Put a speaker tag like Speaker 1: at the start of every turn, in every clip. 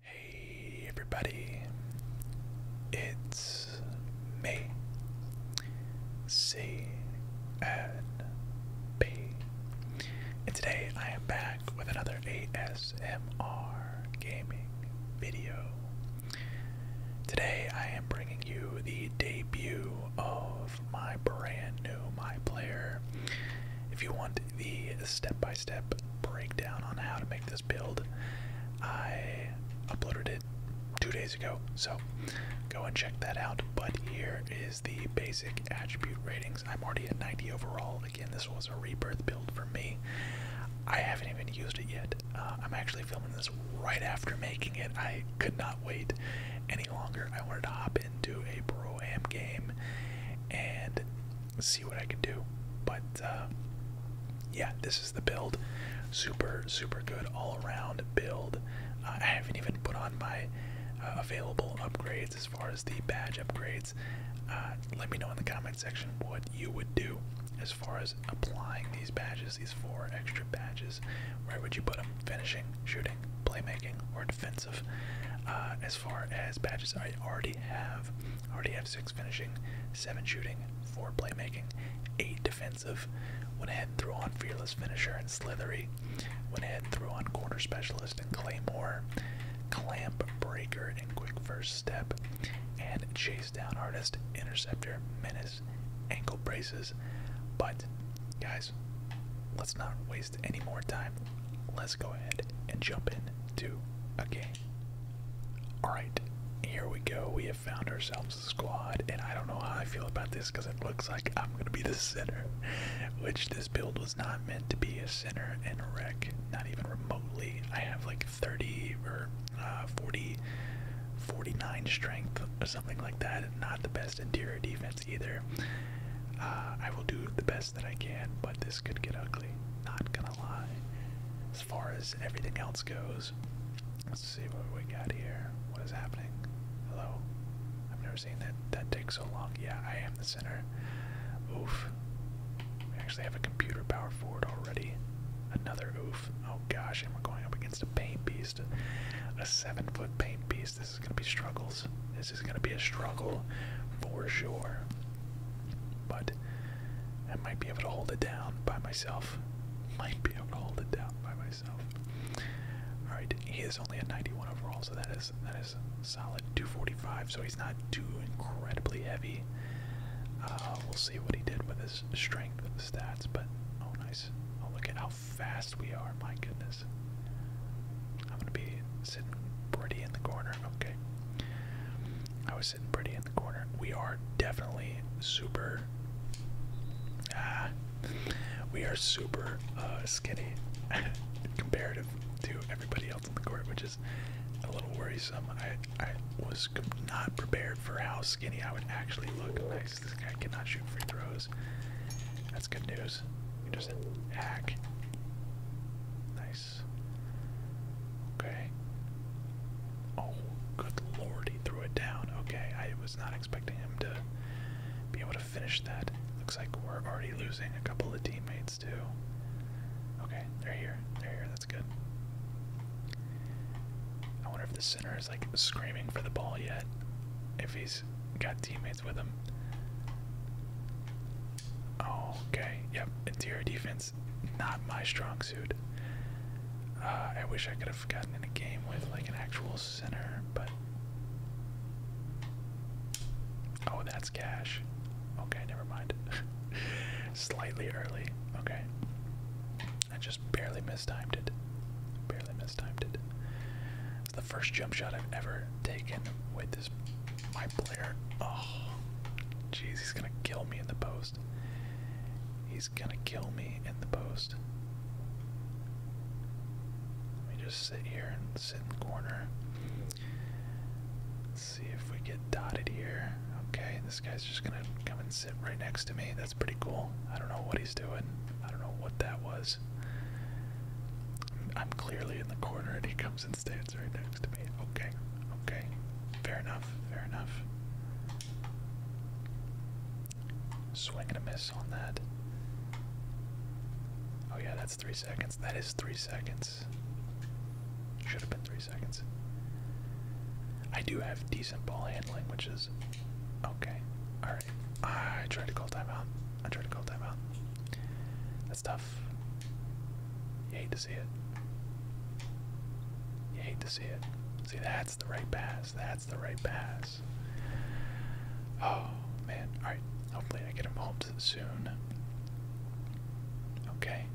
Speaker 1: Hey everybody, it's me, C and B, and today I am back with another ASMR gaming video. Today I am bringing you the debut of my brand new My Player. If you want the step by step breakdown on how to make this build. I uploaded it two days ago, so go and check that out. But here is the basic attribute ratings. I'm already at 90 overall. Again, this was a rebirth build for me. I haven't even used it yet. Uh, I'm actually filming this right after making it. I could not wait any longer. I wanted to hop into a pro am game and see see what I can do. But uh, yeah, this is the build. Super, super good all around build. Uh, I haven't even put on my uh, available upgrades as far as the badge upgrades. let me know in the comment section what you would do as far as applying these badges, these four extra badges. Where would you put them? Finishing, shooting, playmaking, or defensive? as far as badges, I already have, already have six finishing, seven shooting, four playmaking, eight defensive. Went ahead and on Fearless Finisher and Slithery. Went ahead and on Corner Specialist and Claymore. Clamp Breaker and Quick First Step. And Chase Down Artist, Interceptor, Menace, Ankle Braces. But, guys, let's not waste any more time. Let's go ahead and jump into a game. Alright, here we go. We have found ourselves a squad, and I don't know how I feel about this because it looks like I'm going to be the center, which this build was not meant to be a center and a wreck, not even remotely. I have like 30 or uh, 40, 49 strength or something like that, not the best interior defense either. Uh, I will do the best that I can, but this could get ugly. Not gonna lie. As far as everything else goes, let's see what we got here. What is happening? Hello? I've never seen that that take so long. Yeah, I am the center. Oof. We actually have a computer power forward already. Another oof. Oh gosh, and we're going up against a paint beast. A seven foot paint beast. This is gonna be struggles. This is going to be a struggle for sure. But I might be able to hold it down by myself. Might be able to hold it down by myself. All right, he is only a 91 overall, so that is that is solid 245. So he's not too incredibly heavy. Uh, we'll see what he did with his strength stats, but oh nice! Oh look at how fast we are! My goodness, I'm gonna be sitting pretty in the corner. Okay. I was sitting pretty in the corner. We are definitely super. Ah, we are super uh, skinny comparative to everybody else in the court, which is a little worrisome. I, I was not prepared for how skinny I would actually look. Nice. This guy cannot shoot free throws. That's good news. You Nice. Okay. Oh, good lord, he threw it down. Okay, I was not expecting him to be able to finish that. Looks like we're already losing a couple of teammates, too. Okay, they're here. They're here. That's good. I wonder if the center is like screaming for the ball yet. If he's got teammates with him. Okay, yep, interior defense, not my strong suit. Uh, I wish I could have gotten in a game with like an actual center, but. Oh, that's cash. Okay, never mind. Slightly early. Okay. I just barely mistimed it. Barely mistimed it. It's the first jump shot I've ever taken with this my player. Oh, jeez, he's gonna kill me in the post. He's gonna kill me in the post. Let me just sit here and sit in the corner. Let's see if we get dotted here. Okay, this guy's just gonna come and sit right next to me. That's pretty cool. I don't know what he's doing. I don't know what that was. I'm clearly in the corner and he comes and stands right next to me. Okay, okay. Fair enough, fair enough. Swing and a miss on that. Oh, yeah, that's three seconds. That is three seconds. Should have been three seconds. I do have decent ball handling, which is okay. Alright. I tried to call timeout. I tried to call timeout. That's tough. You hate to see it. You hate to see it. See, that's the right pass. That's the right pass. Oh, man. Alright. Hopefully I get him soon. Okay.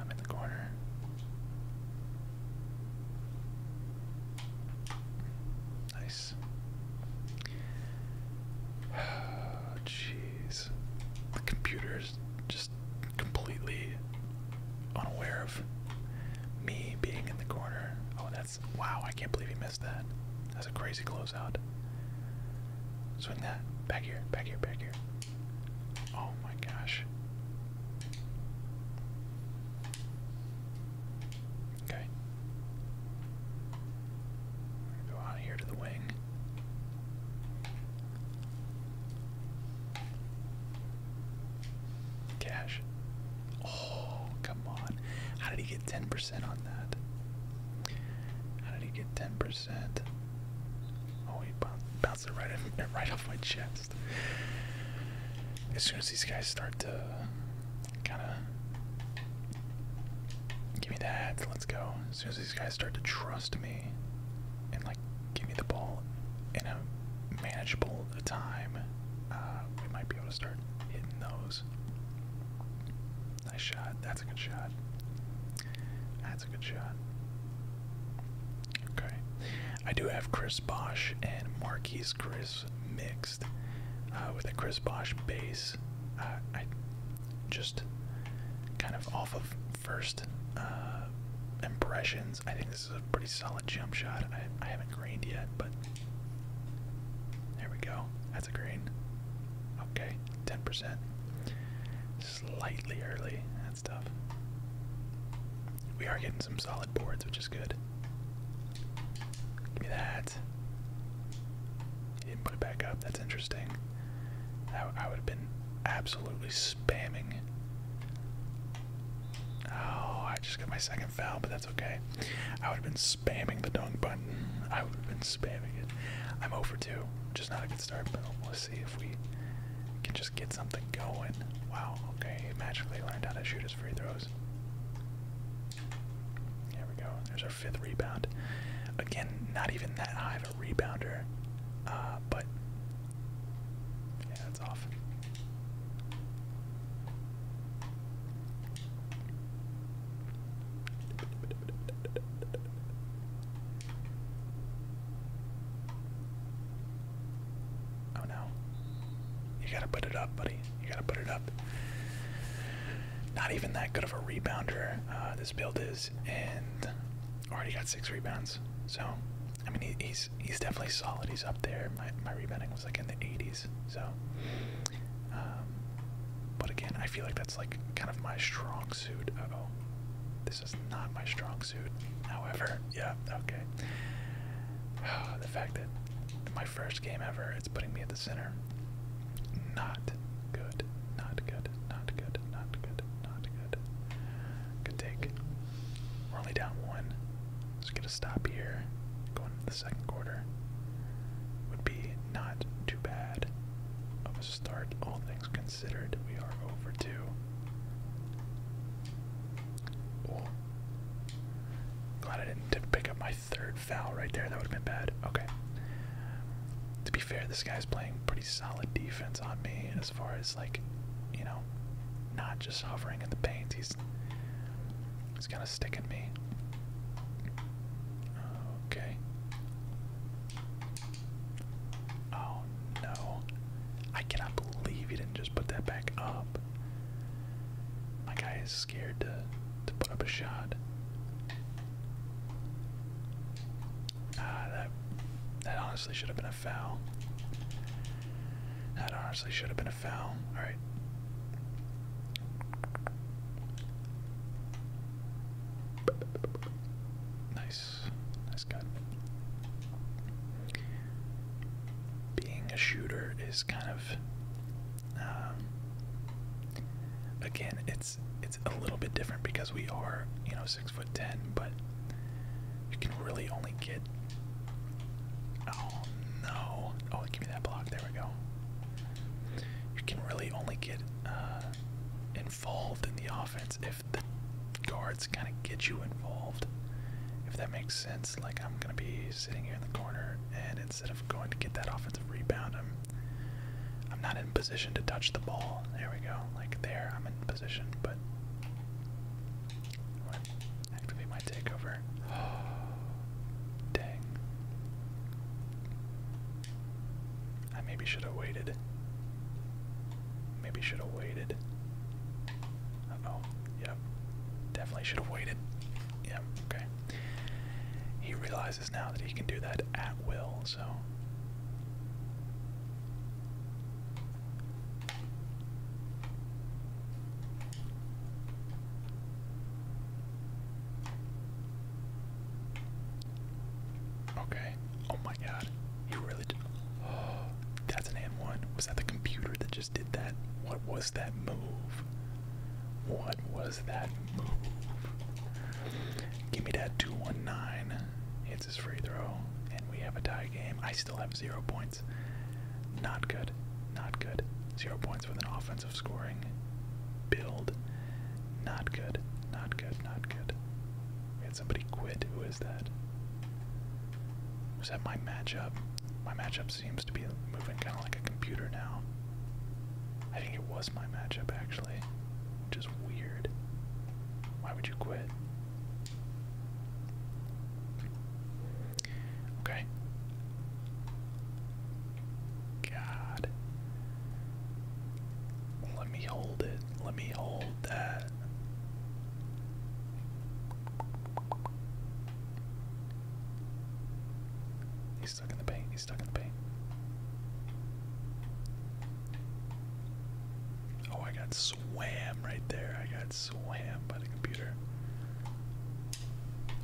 Speaker 1: I'm in the corner. Nice. Oh, jeez the computer's just completely unaware of me being in the corner. Oh, that's wow! I can't believe he missed that. That's a crazy closeout. Swing that back here, back here, back here. Oh my gosh. Okay. Go out here to the wing. Cash. Oh, come on. How did he get 10% on that? How did he get 10%? Oh, he bounced it right, right off my chest. As soon as these guys start to kind of give me that. Let's go. As soon as these guys start to trust me and like give me the ball in a manageable time, uh, we might be able to start hitting those. Nice shot. That's a good shot. That's a good shot. Okay. I do have Chris Bosch and Marquise Chris mixed uh, with a Chris Bosch base. Uh, I just kind of off of first uh, impressions. I think this is a pretty solid jump shot. I, I haven't greened yet, but there we go. That's a green. Okay, 10%. Slightly early. That's tough. We are getting some solid boards, which is good. Give me that. He put it back up. That's interesting. I, would have been absolutely spamming. Oh, I just got my second foul, but that's okay. I would have been spamming the dunk button. I would have been spamming it. I'm over two, just not a good start, but let's see if we can just get something going. Wow, okay, he magically learned how to shoot his free throws. There we go. There's our fifth rebound. Again, not even that high of a rebounder, uh, but yeah, that's off. Oh no. You gotta put it up, buddy. You gotta put it up not even that good of a rebounder. Uh, this build is, and already got six rebounds. So, I mean, he's he's definitely solid. He's up there. My my rebounding was like in the 80s. So, um, but again, I feel like that's like kind of my strong suit. oh, this is not my strong suit. However, yeah, okay. the fact that my first game ever. It's putting me at the center. Not good. Not good. Not good. Not good. Not good. Good take. We're only down one. Let's get stop here. Going into the second quarter. Would be not too bad of a start, all things considered. We are over two. Glad I didn't pick up my third foul right there. That would have been bad. Okay. To be fair, this guy's playing pretty solid defense on me as far as like, you know, not just hovering in the paint. He's he's kind of sticking me. Okay. Oh no. I cannot believe he didn't just put that back up. My guy scared to, to put up a shot. Ah, that that honestly should have been a foul. That honestly should have been a foul. All right. Nice, nice cut. Being a shooter is kind of um, again, it's it's a little bit different because we are you know six foot ten, but you can really only get. Oh no! Oh, give me that block. There we go. You can really only get uh, involved in the offense if the guards kind of get you involved. If that makes sense, like I'm gonna be sitting here in the corner, and instead of going to get that offensive rebound, i I'm not in position to touch the ball. There we go. Like there, I'm in position, but I want to activate my Dang. I maybe should have waited. Maybe should have waited. Uh oh. Yep. Definitely should have waited. Yep. Okay. He realizes now that he can do that at will, so. Okay. Oh my god. He really did. that's an and one. Was that the computer that just did that? What was that move? What was that move? Give me that 219. It's his free throw, and we have a tie game. I still have zero points. Not good. Not good. Zero points with an offensive scoring build. Not good. Not good. Not good. We had somebody quit. Who is that? Was that my matchup? My matchup seems to be moving kind of like a computer now. I think it was my matchup actually, which is weird. Why would you quit? Okay. God. Let me hold it. Let me hold that. He's stuck in the paint. Oh, I got swam right there. I got swam by the computer.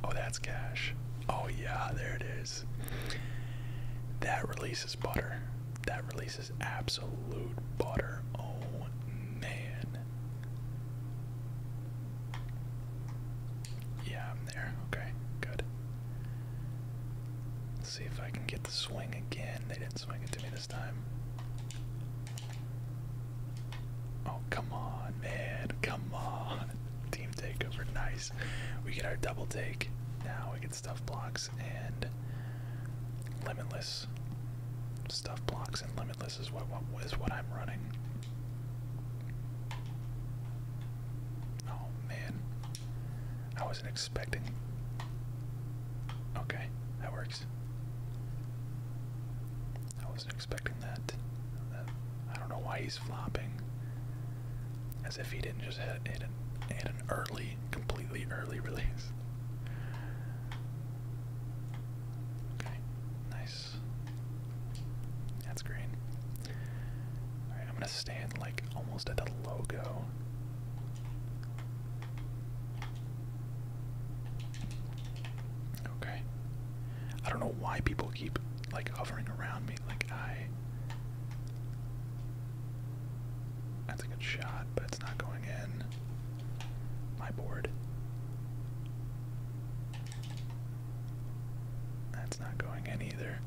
Speaker 1: Oh, that's cash. Oh, yeah, there it is. That releases butter. That releases absolute butter. Oh, man. Yeah, I'm there. Okay, good. Let's see if I can get the swing again. They didn't swing it to me this time. Oh, come on, man. Come on. Team takeover. Nice. We get our double take. Now we get stuff blocks and limitless. Stuff blocks and limitless is whats what is what I'm running. Oh man. I wasn't expecting. Okay, that works. I wasn't expecting that. I don't know why he's flopping. As if he didn't just hit, hit, an, an early, completely early release. Okay, nice. That's green. I'm gonna stand like almost at the logo. Okay. I don't know why people keep like hovering around me. Like I That's a good shot, but it's not going in. My board. That's not going in either.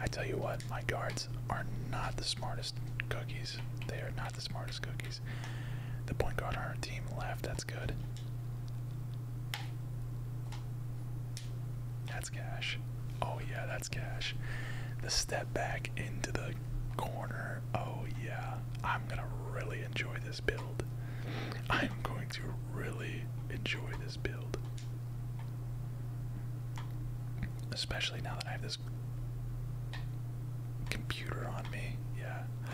Speaker 1: I tell you what, my guards are not the smartest cookies. They are not the smartest cookies. The point guard on our team left. That's good. That's cash. Oh, yeah, that's cash. The step back into the corner. Oh, yeah. I'm going to really enjoy this build. I'm going to really enjoy this build. Especially now that I have this computer on me. Yeah.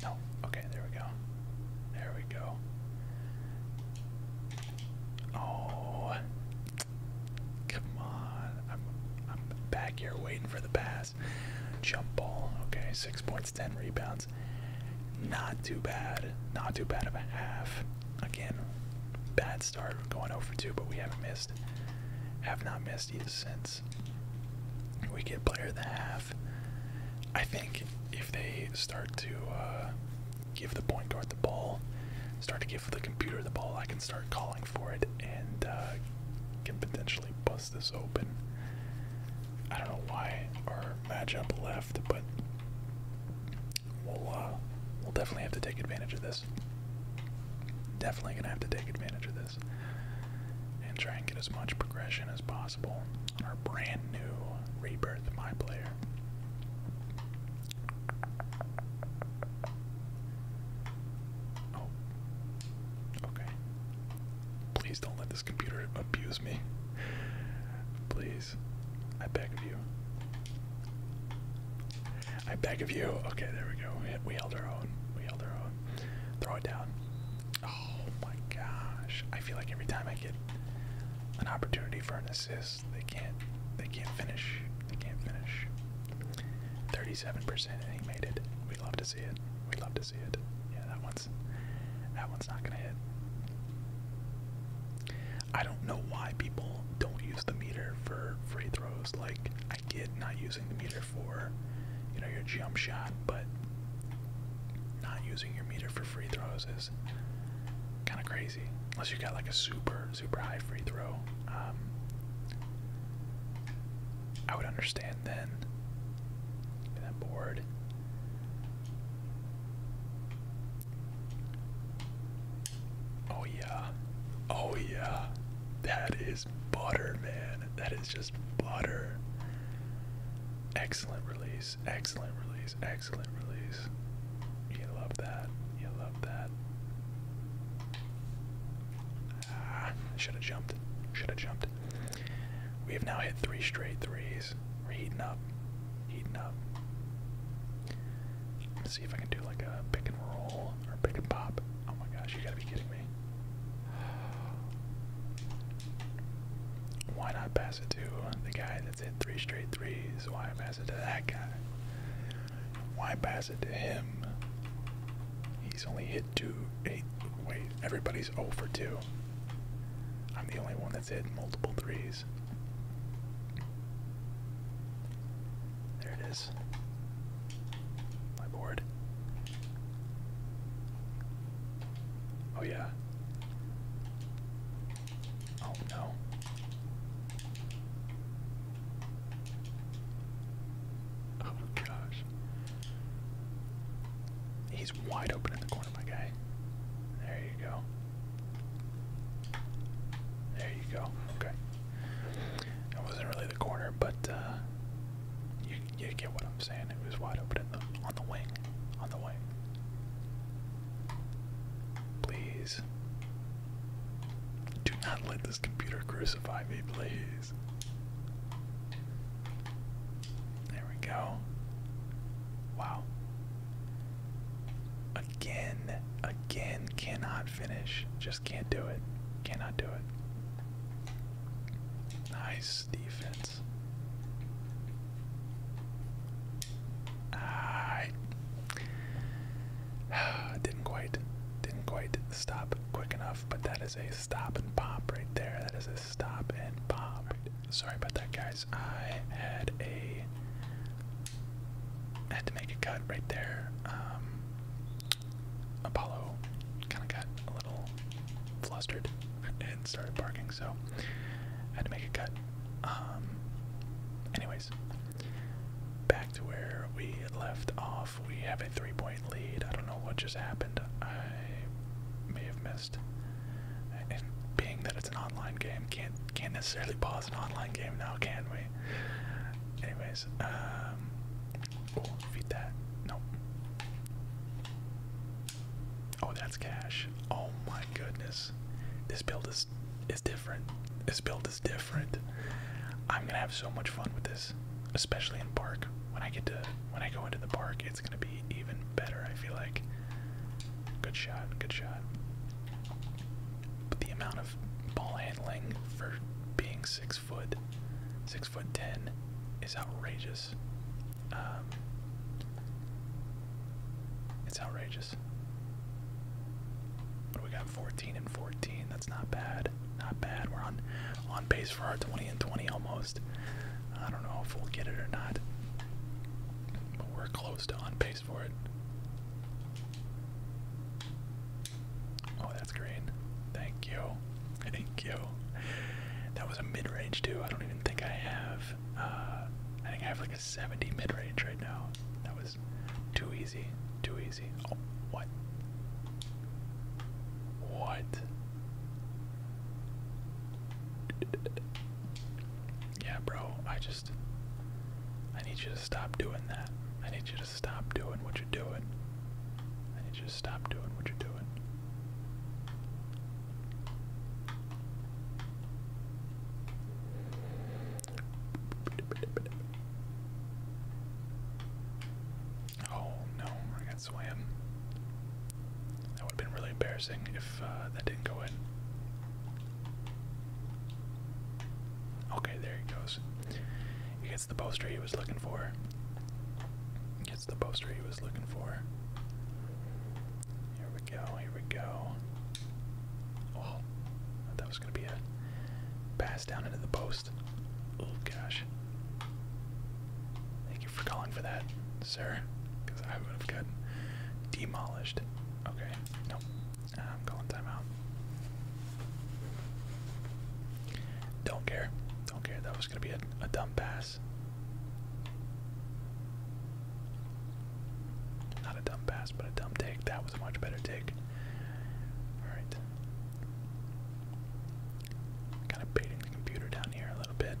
Speaker 1: No. Okay, there we go. There we go. Oh. Come on. I'm I'm back here waiting for the pass. Jump ball. Okay, 6.5 10 rebounds. Not too bad. Not too bad of a half. Again, bad start going over 2, but we haven't missed. Have not missed yet since. We get player of the half. I think if they start to uh, give the point guard the ball, start to give the computer the ball, I can start calling for it and uh, can potentially bust this open. I don't know why our matchup left but we'll uh, we'll definitely have to take advantage of this. Definitely gonna have to take advantage of this and try and get as much progression as possible on our brand new rebirth my player. Oh. Okay. Please don't let this this computer abuse me. Please. I beg of you. I beg of you. Okay, there we go. We, we held our own. We held our own. Throw it down. Oh my gosh. I feel like every time I get an opportunity for an assist, they can't they can't finish. They can't finish. 37% and he made it. We love to see it. We love to see it. Yeah, that one that one's not gonna hit. I don't know why people don't use the meter for free throws. Like I get not using the meter for you know your jump shot, but not using your meter for free throws is kind of crazy. Unless you got like a super super high free throw, um, I would understand then. That board. Oh yeah. Oh yeah. That is butter, man. That is just butter. Excellent release. Excellent release. Excellent release. You love that. You love that. Ah, should have jumped. Should have jumped. We have now hit three straight threes. We're heating up. Heating up. Let's see if I can do like a pick and roll or pick and pop. Oh my gosh, you gotta be kidding me. Why not pass it to the guy that's hit three straight threes? Why pass it to that guy? Why pass it to him? He's only hit two, eight. Wait, everybody's 0 for 2. I'm the only one that's it. Multiple threes. There it is. My board. Oh, yeah. Oh, no. Oh, gosh wide open in the corner, my guy. There you go. There you go. Okay. That wasn't really the corner, but uh, you get what I'm saying. It was wide open on the wing, on the wing. Please, do not let this computer crucify me, please. There we go. Wow. Again, again, cannot finish. Just can't do it. Cannot do it. Nice defense. Ah, I didn't quite, didn't quite stop quick enough, but that is a stop and pop right there. That is a stop and Bob. Sorry about that, guys. I had a I had to make a cut right there. Um, Apollo kind of got a little flustered and started barking, so I had to make a cut. Um, anyways, back to where we left off. We have a three-point lead. I don't know what just happened. I may have missed. And being that it's an online game, can't can't necessarily pause an online game now, can we? Anyways, oh, feed that. Nope. Oh, that's cash. Oh my goodness, this build is is different. This build is different. I'm gonna have so much fun with this, especially in park. When I get to when I go into the park it's gonna be even better, I feel like. Good shot, good shot. But the amount of ball handling for being six foot, six foot ten, is outrageous. Um, it's outrageous. What we got? 14 and 14. That's not bad. Not bad. We're on on pace for our 20 and 20 almost. I don't know if we'll get it or not. But we're close to on pace for it. Oh, that's green. Thank you. Thank you. That was a mid range, too. I don't even think I have. Uh, I think I have like a 70 mid range right now. That was too easy. Too easy. Oh, what? What? Yeah, bro, I just. I need you to stop doing that. I need you to stop doing what you're doing. I need you to stop doing what you're doing. Oh no, that swam. That would have been really embarrassing if uh, that didn't go in. Okay, there he goes. He gets the poster he was looking for. He gets the poster he was looking for. Here we go, here we go. Oh, that was going to be a pass down into the post. Oh gosh for calling for that, sir, because I would have gotten demolished. Okay, nope. I'm calling timeout. Don't care. Don't care. That was going to be a, dumb pass. Not a dumb pass, but a dumb take. That was a much better take. Alright. Kind of baiting the computer down here a little bit.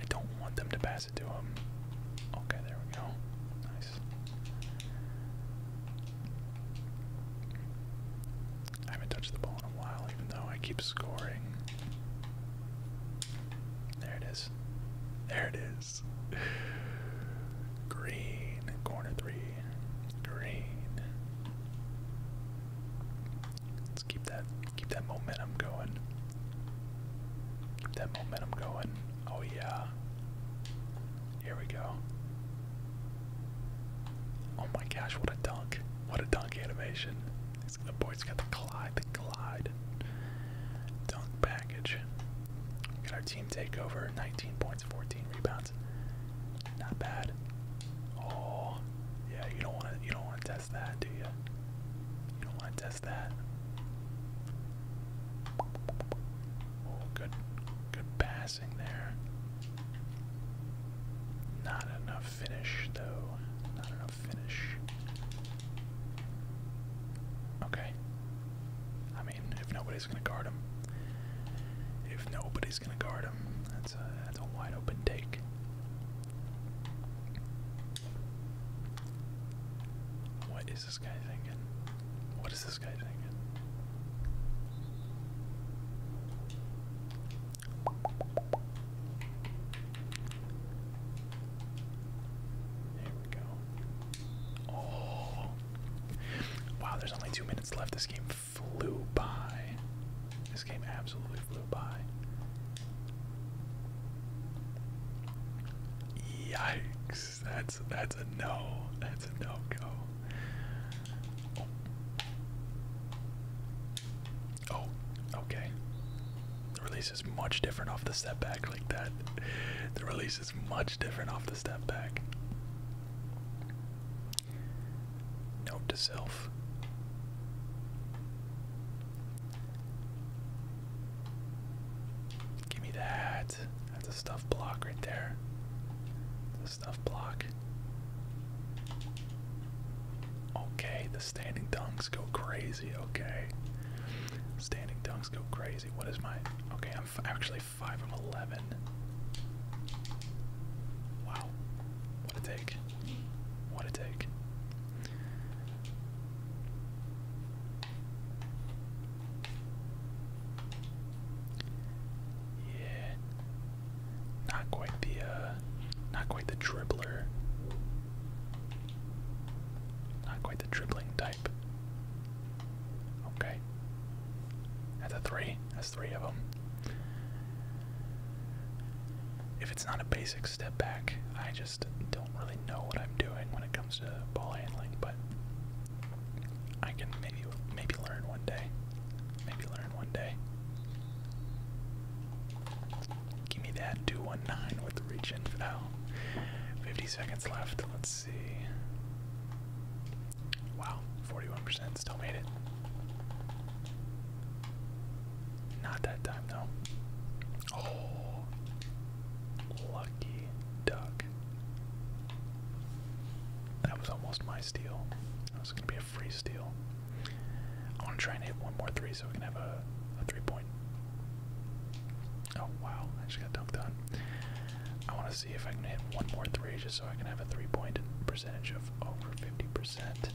Speaker 1: I don't want them to pass it to him. Okay, there we go. Nice. I haven't touched the ball in a while, even though I keep scoring. There it is. There it is. Green. Corner three. Green. Let's keep that keep that momentum going. Keep that momentum going. Oh yeah. Here we go. Oh my gosh, what a dunk. What a dunk animation. It's, the boy's got the glide, the glide. Dunk package. Got our team takeover, 19 points, 14 rebounds. Not bad. Oh, yeah, you don't want you don't want to test that, do you? You don't want to test that. Oh, good, good passing there. Not enough finish, though. Not enough finish. Okay. I mean, if nobody's gonna guard him, if nobody's gonna guard him, that's a that's a wide open take. What is this guy thinking? What is this guy thinking? There we go. Oh. Wow, there's only two minutes left. This game flew by. This game absolutely flew by. Yikes! That's that's a no. That's a no go. Oh. okay. The release is much different off the step back like that. The release is much different off the step back. Note to self. Give me that. That's a stuff block right there. The stuff block. Okay, the standing dunks go crazy. Okay. Standing dunks go crazy. What is my. Okay, I'm actually 5 of 11. Wow. What a take. What a take. Yeah. Not quite the uh not quite the dribbler. Not quite the dribbling type. Okay. That's a three. That's three of them it's not a basic step back, I just don't really know what I'm doing when it comes to ball handling, but I can maybe maybe learn one day. Maybe learn one day. Give me that 219 with the reach in foul. 50 seconds left. Let's see. Wow, 41% still made it. Not that time, though. Oh, lucky duck. That was almost my steal. That was going to be a free steal. I want to try and hit one more three so we can have a, a three point. Oh, wow. I just got dunked on. I want to see if I can hit one more three just so I can have a three point percentage of over 50% percent.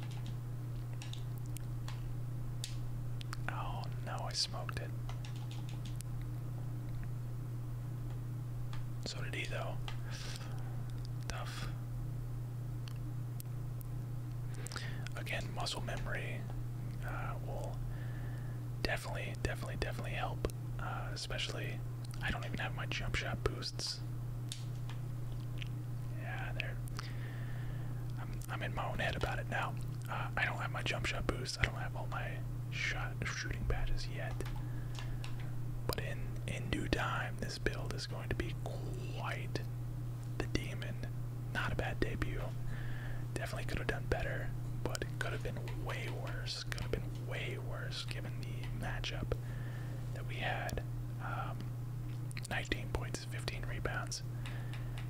Speaker 1: Oh no, I smoked it. So did he though. Tough. Again, muscle memory uh, will definitely, definitely, definitely help. Uh, especially, I don't even have my jump shot boosts yeah, there. I'm, in my own head about it now. Uh, I don't have my jump shot boost. I don't have all my shot shooting badges yet. But in in due time, this build is going to be quite the demon. Not a bad debut. Definitely could have done better, but it could have been way worse. Could have been way worse given the matchup that we had. Um, 19.6 15 rebounds,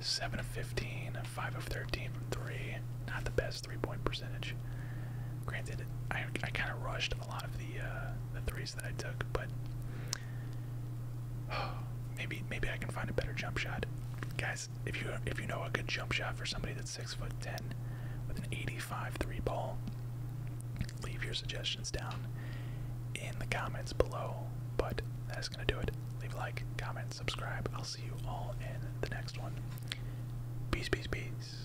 Speaker 1: 7 of 15, 5 of 13 from 3. Not the best three point percentage. Granted, I, I kind of rushed a lot of the, uh, the threes that I took, but maybe maybe I can find a better jump shot. Guys, if you if you know a good jump shot for somebody that's six foot ten with an 85 three ball, leave your suggestions down in the comments below. But that's going to do it. Leave a like, comment, subscribe. I'll see you all in the next one. Peace, peace, peace.